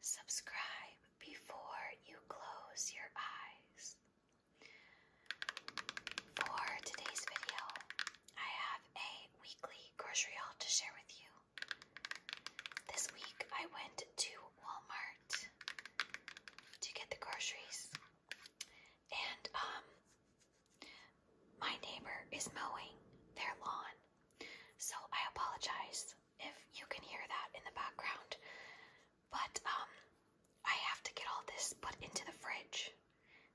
Subscribe before you close your eyes. For today's video, I have a weekly grocery haul to share with you. This week I went to Walmart to get the groceries. And um my neighbor is mowing their lawn. So I apologize if you can hear that in the background. But um I have to get all this put into the fridge.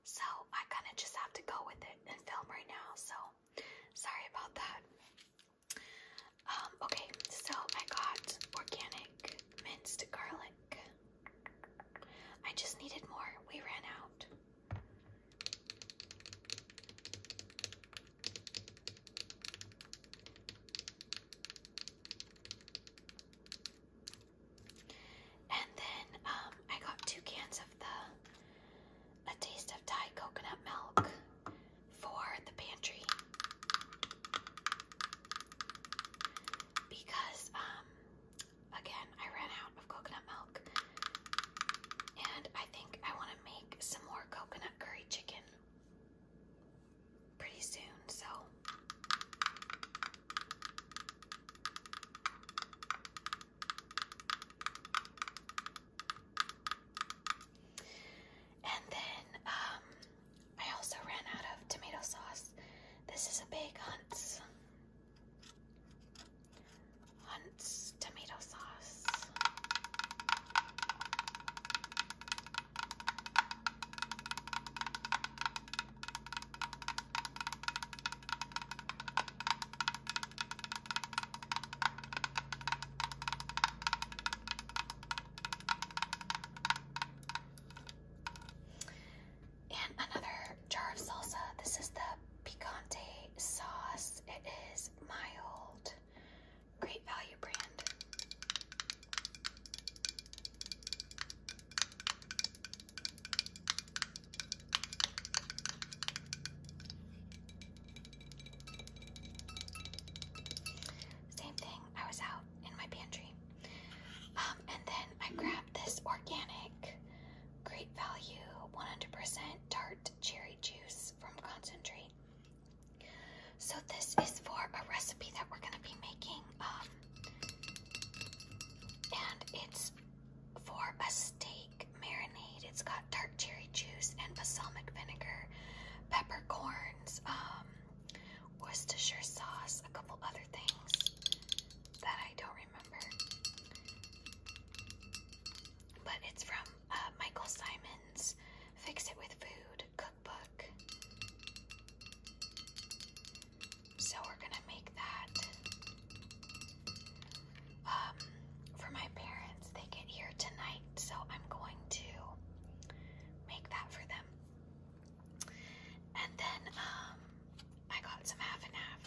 So I kind of just have to go with it and film right now. So sorry about that. Um okay, so I got organic minced garlic. I just needed more. We ran out. And then um, I got two cans of the A Taste of Thai coconut milk for the pantry because um, again I ran out of coconut milk and I think I want to make some more coconut curry chicken pretty soon, so and then um I also ran out of tomato sauce. This is a big hunt tomato sauce. And another jar of salsa. This is the picante sauce. It is mild. Great value brand. Same thing, I was out in my pantry. Um, and then I grabbed this organic, great value, 100% tart cherry juice from Concentrate. So this is for a recipe that we're gonna be making, um, and it's for a steak marinade. It's got dark cherry juice and balsamic vinegar, peppercorns, um, Worcestershire sauce, a couple other things that I don't remember. But it's from uh, Michael Simon's Fix It With Food cookbook. So we're gonna make that. Um, for my parents, they get here tonight, so I'm going to make that for them. And then, um, I got some half and half.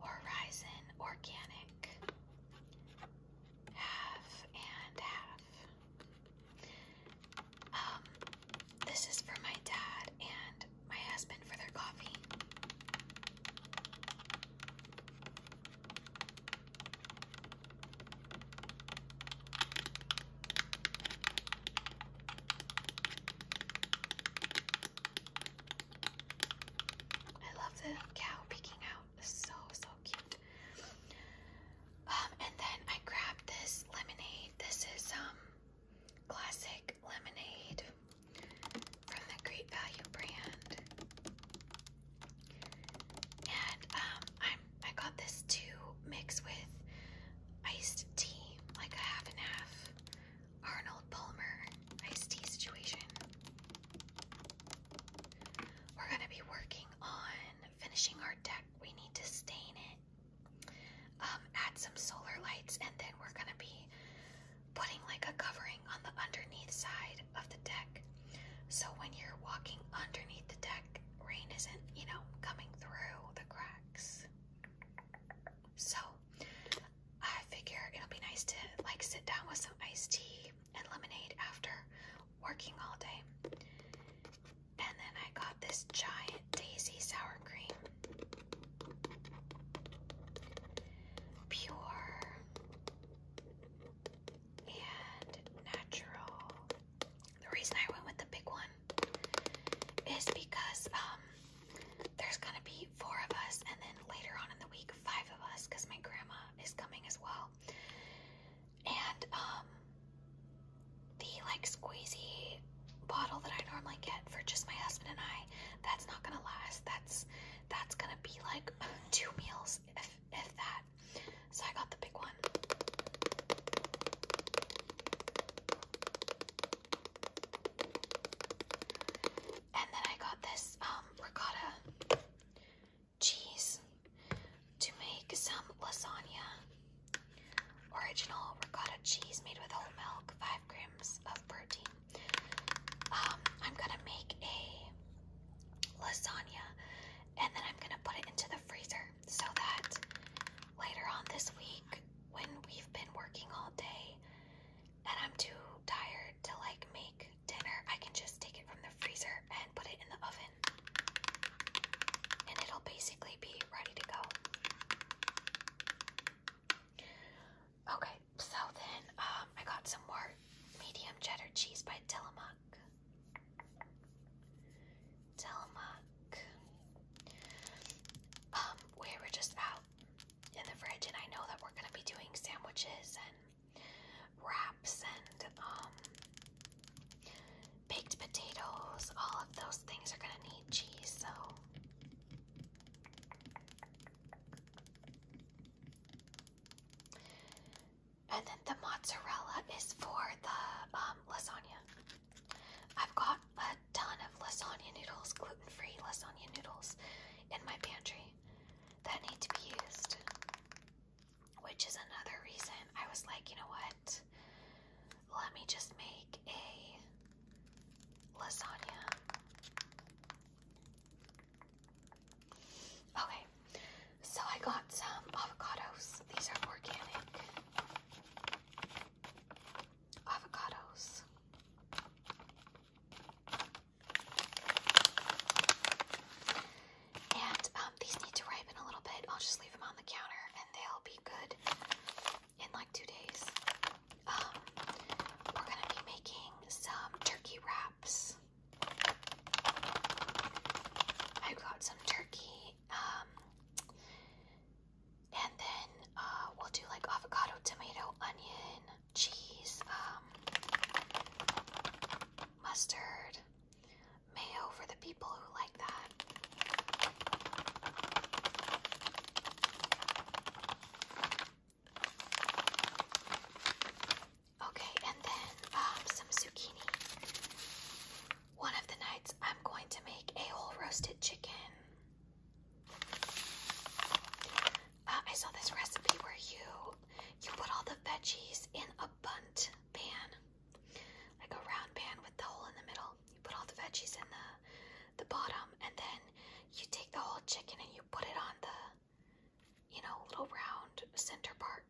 Horizon Organic Half and half. Um, this is for my dad and my husband for their coffee. I love the cow peeking out. so, so cute. Um, and then I grabbed this lemonade. This is um classic lemonade from the Great Value brand. And um I'm I got this to mix with iced tea, like a half and half Arnold Palmer iced tea situation. We're going to be working on finishing our deck. We need to stain it, um, add some solar lights, and then we're going to be putting like a covering on the underneath side of the deck. So when you're walking underneath the deck, rain isn't, you know, coming through the cracks. So I figure it'll be nice to like sit down with some iced tea and lemonade after working all day. And then I got this giant daisy sour cream. Pure and natural. The reason I went with the big one is because um there's gonna be four of us, and then later on in the week, five of us, because my grandma is coming as well. And um, the like squeezy bottle that I normally get for just my husband and I, that's not gonna last. That's that's gonna be like two meals if if that. So I got the big one. And then I got this um, ricotta cheese to make some lasagna. Original ricotta cheese made with whole milk, 5 grams of protein. Um, I'm gonna make a lasagna and then I'm gonna put it into the freezer so that later on this week, when we've been working all day and I'm too tired to like make dinner, I can just take it from the freezer and put it in the oven. And it'll basically be ready to go. Okay, so then um, I got some more medium cheddar cheese by Tillamook. Tillamook. Um, we were just out in the fridge, and I know that we're gonna be doing sandwiches and wraps and um, baked potatoes. All of those things are gonna need cheese, so. And then the mozzarella is for the um, lasagna. I've got a ton of lasagna noodles, gluten-free lasagna noodles in my pantry that need to be used. Which is another reason I was like, you know what? Let me just make a lasagna. Okay, so I got some avocados. These are organic avocados. And um, these need to ripen a little bit. I'll just leave them on the counter and they'll be good in like two days. Um, we're going to be making some turkey wraps. I got some turkey. Um, and then uh, we'll do like avocado, tomato, onion, cheese, um, mustard, mayo for the people who like that. Okay, and then um, some zucchini. One of the nights, I'm going to make a whole roasted chicken. Uh, I saw this recipe where you you put all the veggies in a bunt pan, like a round pan with the hole in the middle. You put all the veggies in the the bottom, and then you take the whole chicken and you put it on the you know little round center part,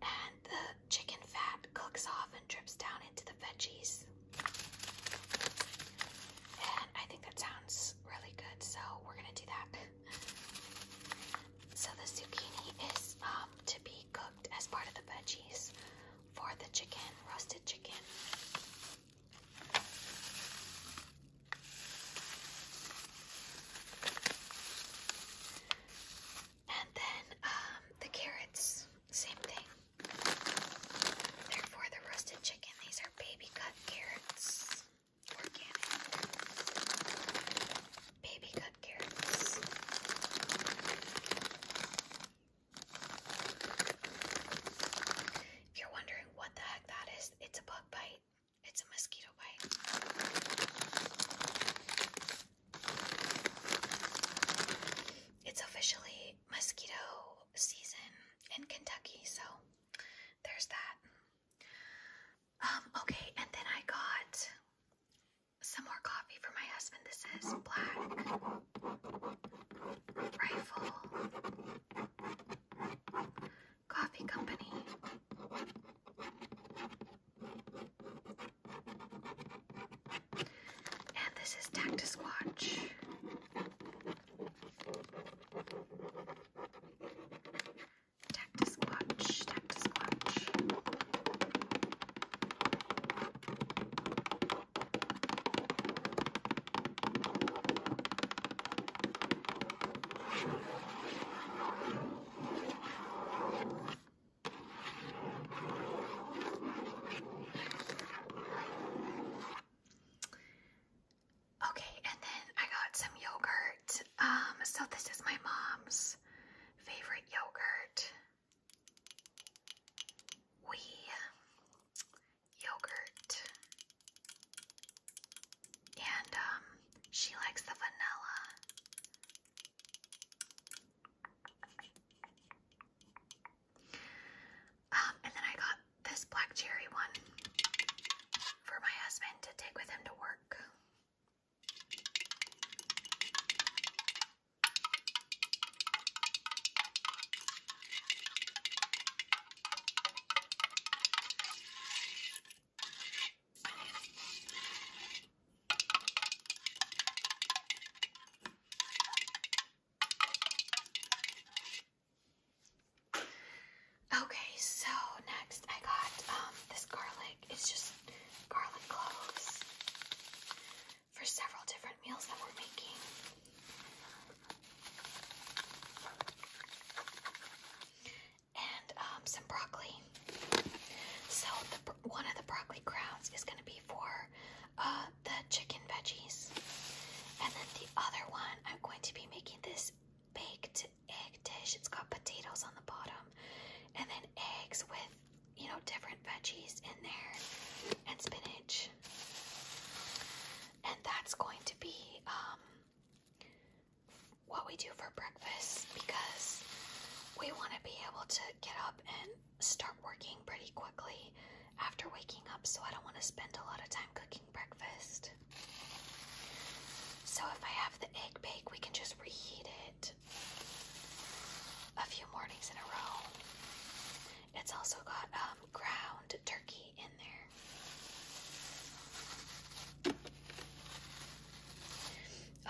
and the chicken fat cooks off and drips down into the veggies. And I think that sounds really good, so we're gonna do that. So the zucchini is um, to be cooked as part of the veggies for the chicken, roasted chicken. And then um, the carrots, same thing. They're for the roasted chicken. These are baby cut carrots organic baby cut carrots. If you're wondering what the heck that is, it's a bug bite. It's a mosquito bite. It's officially mosquito season in Kentucky, so there's that. Um, okay, and then I got some more coffee for my husband. This is Black Rifle Coffee Company. And this is Tactus Watch. Tactus clutch, tactus clutch. Okay, and then I got some yogurt. Um, so this is my mom's favorite yogurt. We yogurt. And um she likes the vanilla. Um, and then I got this black cherry one for my husband to take with him to work. Okay, so next I got um, this garlic. It's just garlic cloves for several different meals that we're making. And um, some broccoli. So the one of the broccoli crowns is going to be for uh, the chicken veggies. And then the other one, I'm going to be making this this baked egg dish. It's got potatoes on the bottom and then eggs with, you know, different veggies in there and spinach. And that's going to be um, what we do for breakfast because we want to be able to get up and start working pretty quickly after waking up. So I don't want to spend a lot of time cooking breakfast. So if I have the egg bake, we can just reheat it a few mornings in a row. It's also got um, ground turkey in there.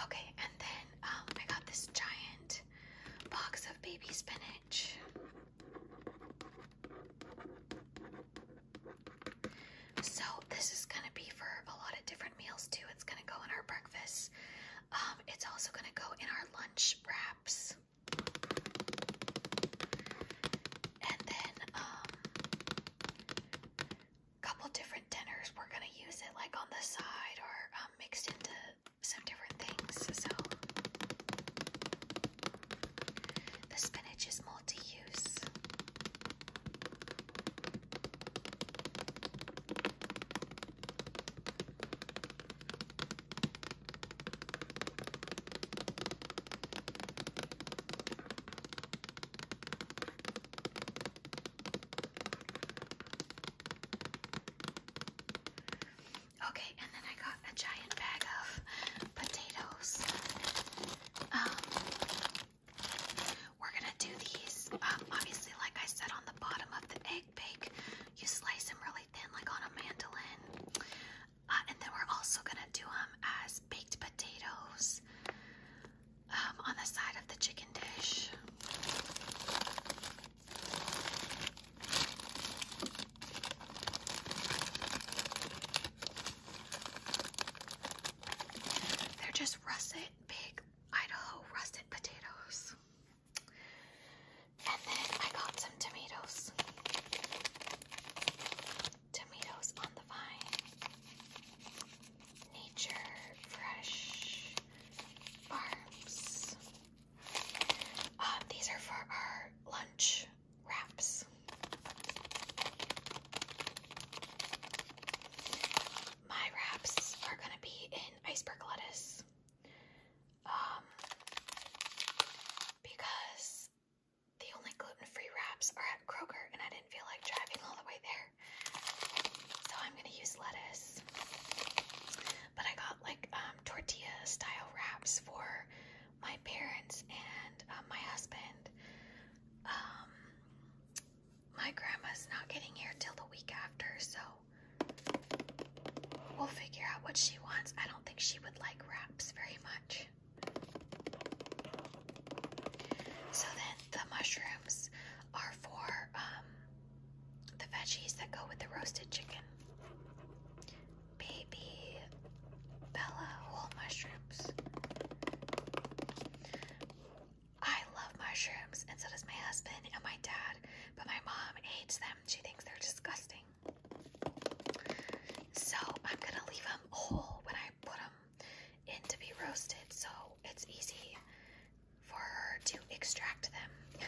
Okay, and then um, I got this giant box of baby spinach. So this is gonna be for a lot of different meals too. It's gonna go in our breakfast. Um, it's also gonna go in our lunch wraps. And then um couple different dinners we're gonna use it like on the side or um, mixed into some different things. So the spinach is multi-use. Okay, and then I got a giant bag of potatoes. Um, we're gonna do these. Um, obviously, like I said, on the bottom of the egg bake, you slice them really thin, like on a mandolin. Uh, and then we're also gonna do them as baked potatoes um, on the side of the chicken dish. They're just russet, big Idaho russet potatoes. And then I got some tomatoes. Tomatoes on the vine. Nature Fresh Farms. Um, these are for our lunch wraps. My wraps are gonna be in iceberg lettuce. Um, because the only gluten-free wraps are at Kroger and I didn't feel like driving all the way there. So I'm gonna use lettuce. But I got like um, tortilla style wraps for my parents and um, my husband. Um, my grandma's not getting here till the week after, so we'll figure out what she wants. I don't think she would like wraps very much. So then the mushrooms are for um, the veggies that go with the roasted chicken baby Bella whole mushrooms. I love mushrooms, and so does my husband and my dad, but my mom hates them. She thinks they're disgusting. So I'm gonna leave them whole when I put them in to be roasted, so it's easy for her to extract them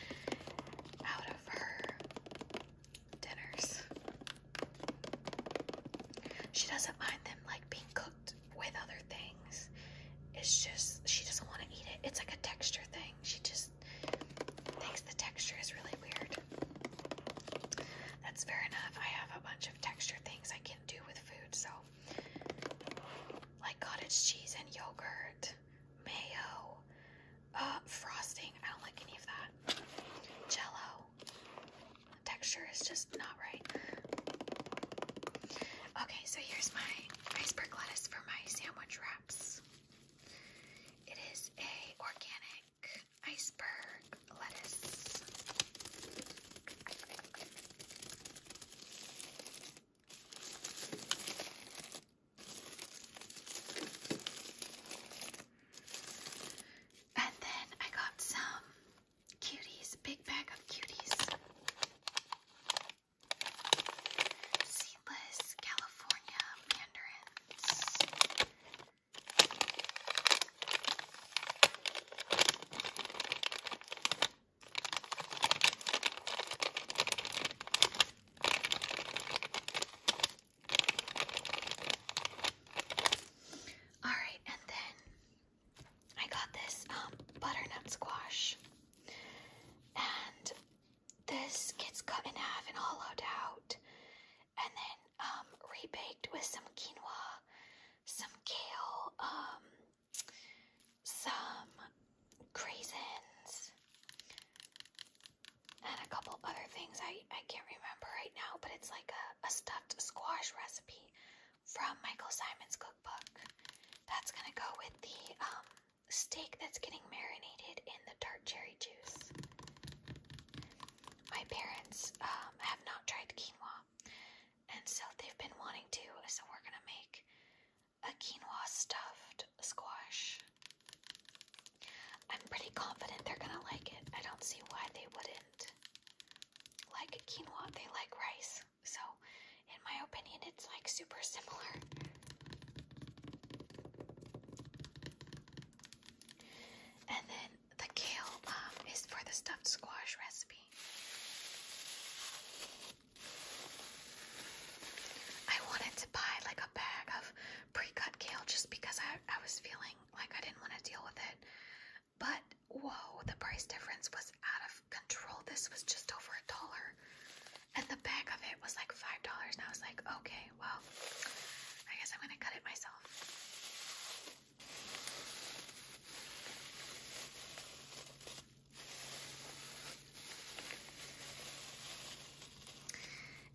out of her dinners. She doesn't mind them like being cooked with other things. It's just she doesn't want to eat it. It's like a texture thing. She just thinks the texture is really weird. That's fair enough. I have a bunch of texture things I can do with food, so like cottage cheese and yogurt, mayo, uh, frosting. I don't like any of that. Jello. Texture is just not right. Okay, so here's my iceberg lettuce for my sandwich wraps. It is a organic iceberg lettuce. And then I got some cuties, big bag of cuties. Seedless California mandarins. Alright, and then I got this um, butternut squash. And this gets cut in half and hollowed out. And then um, rebaked with some quinoa, some kale, um, some raisins and a couple other things I, I can't remember right now, but it's like a, a stuffed squash recipe from Michael Simon's cookbook. That's gonna go with the um, steak that's getting marinated in the tart cherry juice. My parents um, have not tried quinoa, and so they've been wanting to, so we're gonna make a quinoa stuffed squash I'm pretty confident they're gonna like it. I don't see why they wouldn't. Like quinoa, they like rice. So, in my opinion, it's like super similar. And then the kale um, is for the stuffed squash recipe. I wanted to buy like bag of pre-cut kale just because I, I was feeling like I didn't want to deal with it. But whoa, the price difference was out of control. This was just over a dollar. And the bag of it was like five dollars. And I was like, okay, well, I guess I'm gonna cut it myself.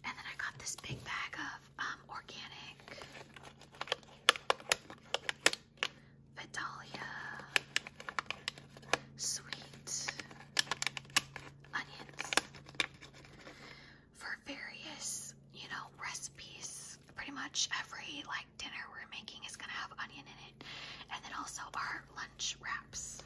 And then I got this big bag of um, organic Vidalia sweet onions for various, you know, recipes. Pretty much every like dinner we're making is gonna have onion in it, and then also our lunch wraps.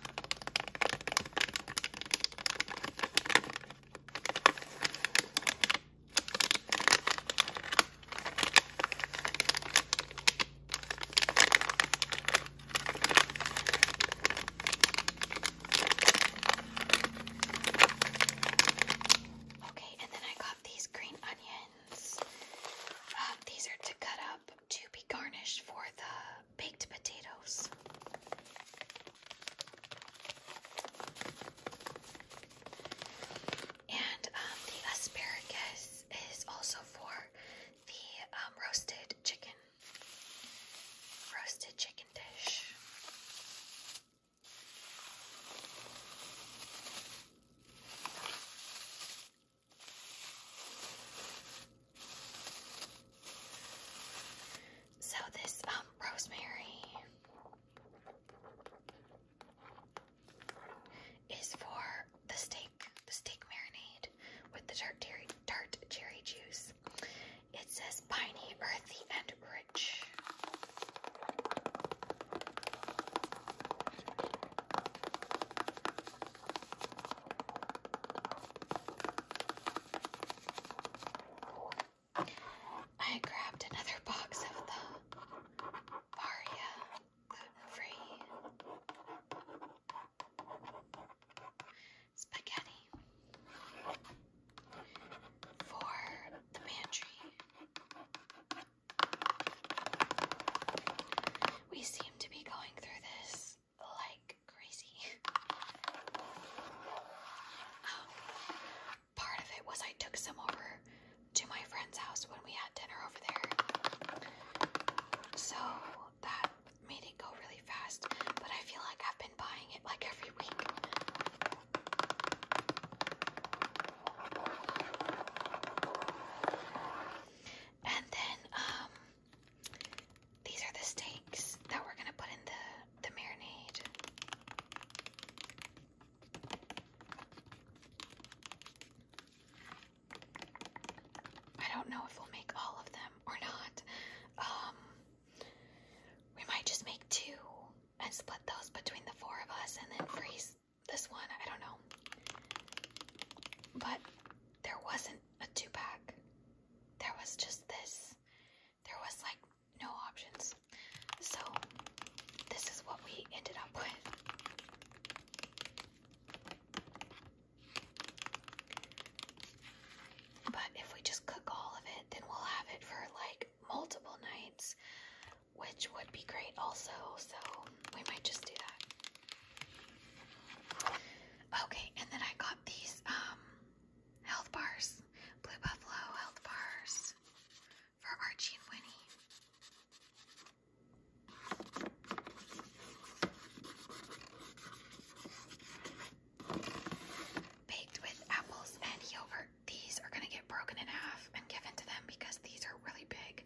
Okay, and then I got these green onions. Um, these are to cut up to be garnished for the baked potatoes. And um, the asparagus is also for the um, roasted chicken, roasted chicken dish. So this um, rosemary is for the steak, the steak marinade with the tart cherry, tart cherry juice. It says piney, earthy, and rich. I grabbed another box of the Baria gluten free spaghetti for the pantry. We seem to be going through this like crazy. Um, part of it was I took some over to my friend's house when we had dinner over there. So that made it go really fast, but I feel like I've been buying it like every week. And then um these are the steaks that we're gonna put in the the marinade. I don't know if we'll make all of them or not. Um, we might just make two and split those between the four of us and then freeze this one. I don't know. But there wasn't a two pack, there was just this there was like no options. So this is what we ended up with. But if we just cook all of it, then we'll have it for like multiple nights, which would be great also. So we might just do that. Okay, and then I got these um Health bars. Blue Buffalo health bars for Archie and Winnie. Baked with apples and yogurt. These are going to get broken in half and given to them because these are really big.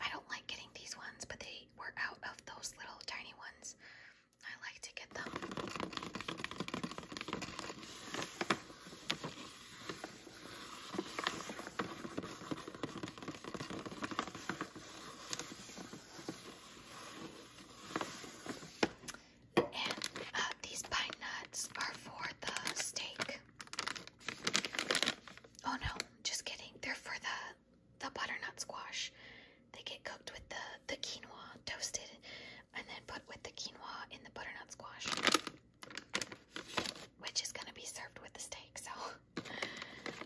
I don't like getting these ones, but they were out of those little tiny ones. I like to get them. Uh, these pine nuts are for the steak. Oh no, just kidding. They're for the the butternut squash. They get cooked with the the quinoa toasted and then put with the quinoa in the butternut squash, which is going to be served with the steak. So,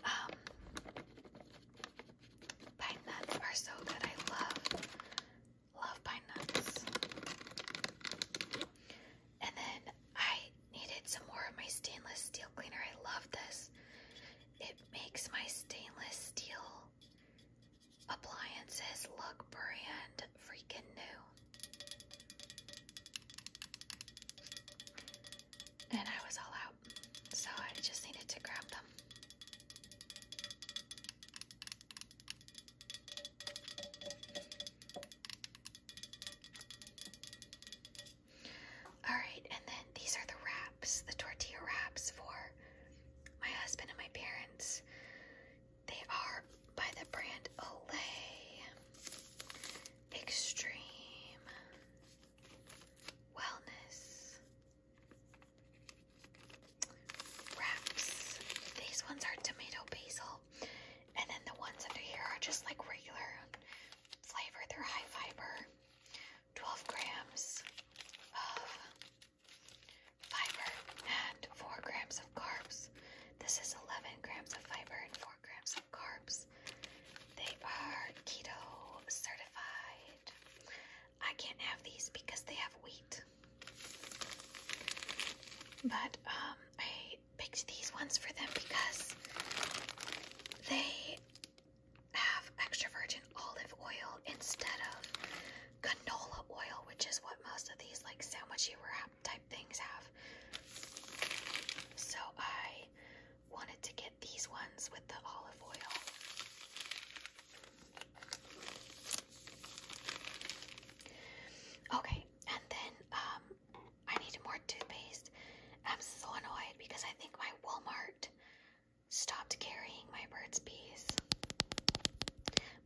um, pine nuts are so good. I love, love pine nuts. And then I needed some more of my stainless steel cleaner. I love this. It makes my stainless steel Appliances look brand freaking new. And I was all out, so I just needed to grab them. All right, and then these are the wraps, the tortilla wraps for my husband and my parents. They are by the brand Olay Extreme Wellness Wraps. These ones are tomato basil, and then the ones under here are just like regular flavor. They're high fiber, 12 grams of Fiber and 4 grams of carbs. This is 11 grams of fiber and 4 grams of carbs. They are keto certified. I can't have these because they have wheat. But um, I picked these ones for them because they have extra virgin olive oil instead of canola oil, which is what most of these like sandwichy wrap type things have. So I wanted to get these ones with the olive oil. Okay, and then um, I need more toothpaste. I'm so annoyed because I think my Walmart stopped carrying my Burt's Bees.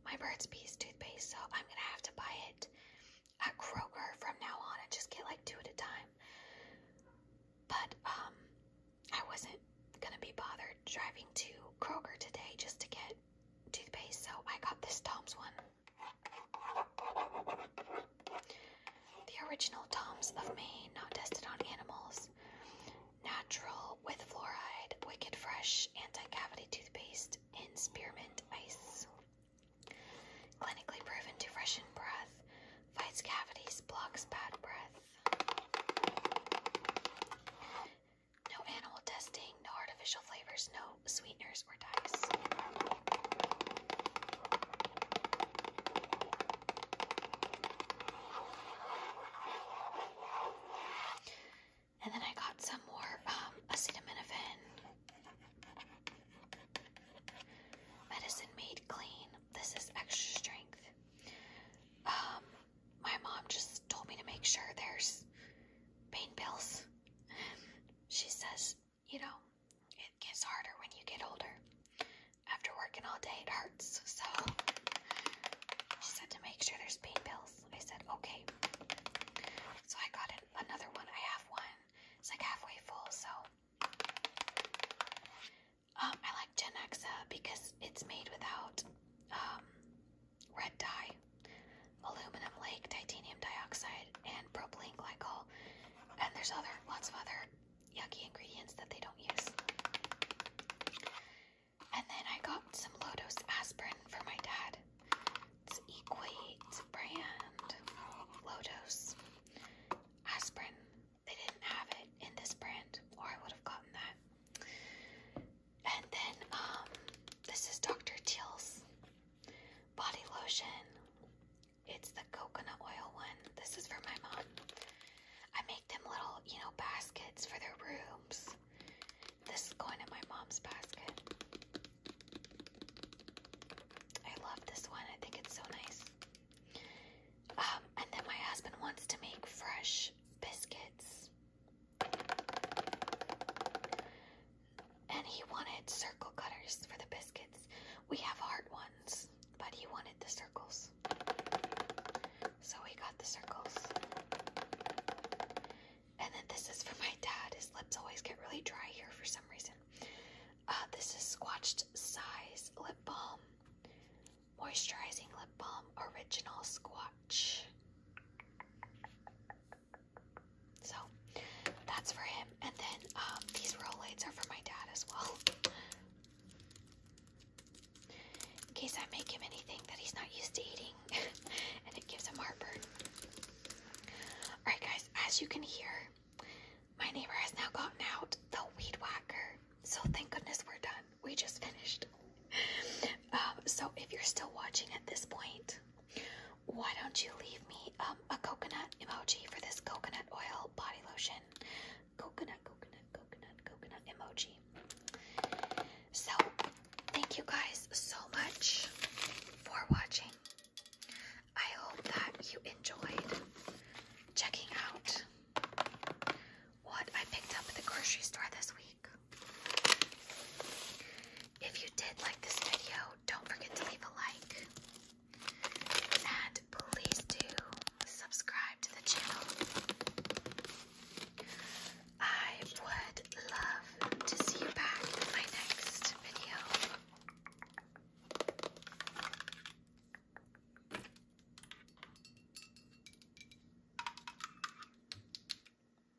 My Burt's Bees toothpaste, so I'm gonna have to buy it at Kroger from now on and just get like two at a time. But um I wasn't gonna be bothered driving to Kroger today just to get toothpaste, so I got this Tom's one. The original Tom's of Maine, not tested on animals natural with fluoride, wicked fresh anti-cavity toothpaste in spearmint ice. Clinically proven to freshen breath, fights cavities, blocks bad breath. No animal testing, no artificial flavors, no sweeteners or dyes. And then I got some more um, acetaminophen. Medicine Made Clean. This is extra strength. Um, my mom just told me to make sure there's pain pills. She says, you know, it gets harder when you get older after working all day, it hurts. So she said to make sure there's pain pills. I said, okay. So I got another one. I have one. It's like halfway full. So um, I like Genexa uh, because it's made without um, red dye, aluminum lake, titanium dioxide, and propylene glycol. And there's other lots of other yucky ingredients that they don't use. And then I got some Lotus aspirin for my dad. It's Equate brand Lotus aspirin. They didn't have it in this brand, or I would have gotten that. And then um, this is Dr. Teal's body lotion. It's the coconut oil one. This is for my mom. I them little, you know, baskets for their rooms. This is going in my mom's basket. I love this one. I think it's so nice. Um, and then my husband wants to make fresh biscuits. And he wanted circle cutters for the biscuits. We have hard ones, but he wanted the circles. So we got the circles. And then this is for my dad. His lips always get really dry here for some reason. Uh, this is Squatched Size Lip Balm. Moisturizing Lip Balm Original Squatch. So that's for him. And then um, these roll lights are for my dad as well. In case I make him anything that he's not used to eating and it gives him heartburn. Alright, guys, as you can hear, my neighbor has now gotten out the weed whacker. So thank goodness we're done. We just finished. Um, so if you're still watching at this point, why don't you leave me um, a coconut emoji for this coconut oil body lotion? Coconut, coconut, coconut, coconut emoji. So, thank you guys so much for watching. I hope that you enjoyed checking out what I picked up at the grocery store this week. If you did like this video, don't forget to leave a like. And please do subscribe to the channel. I would love to see you back in my next video.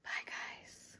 Bye, guys.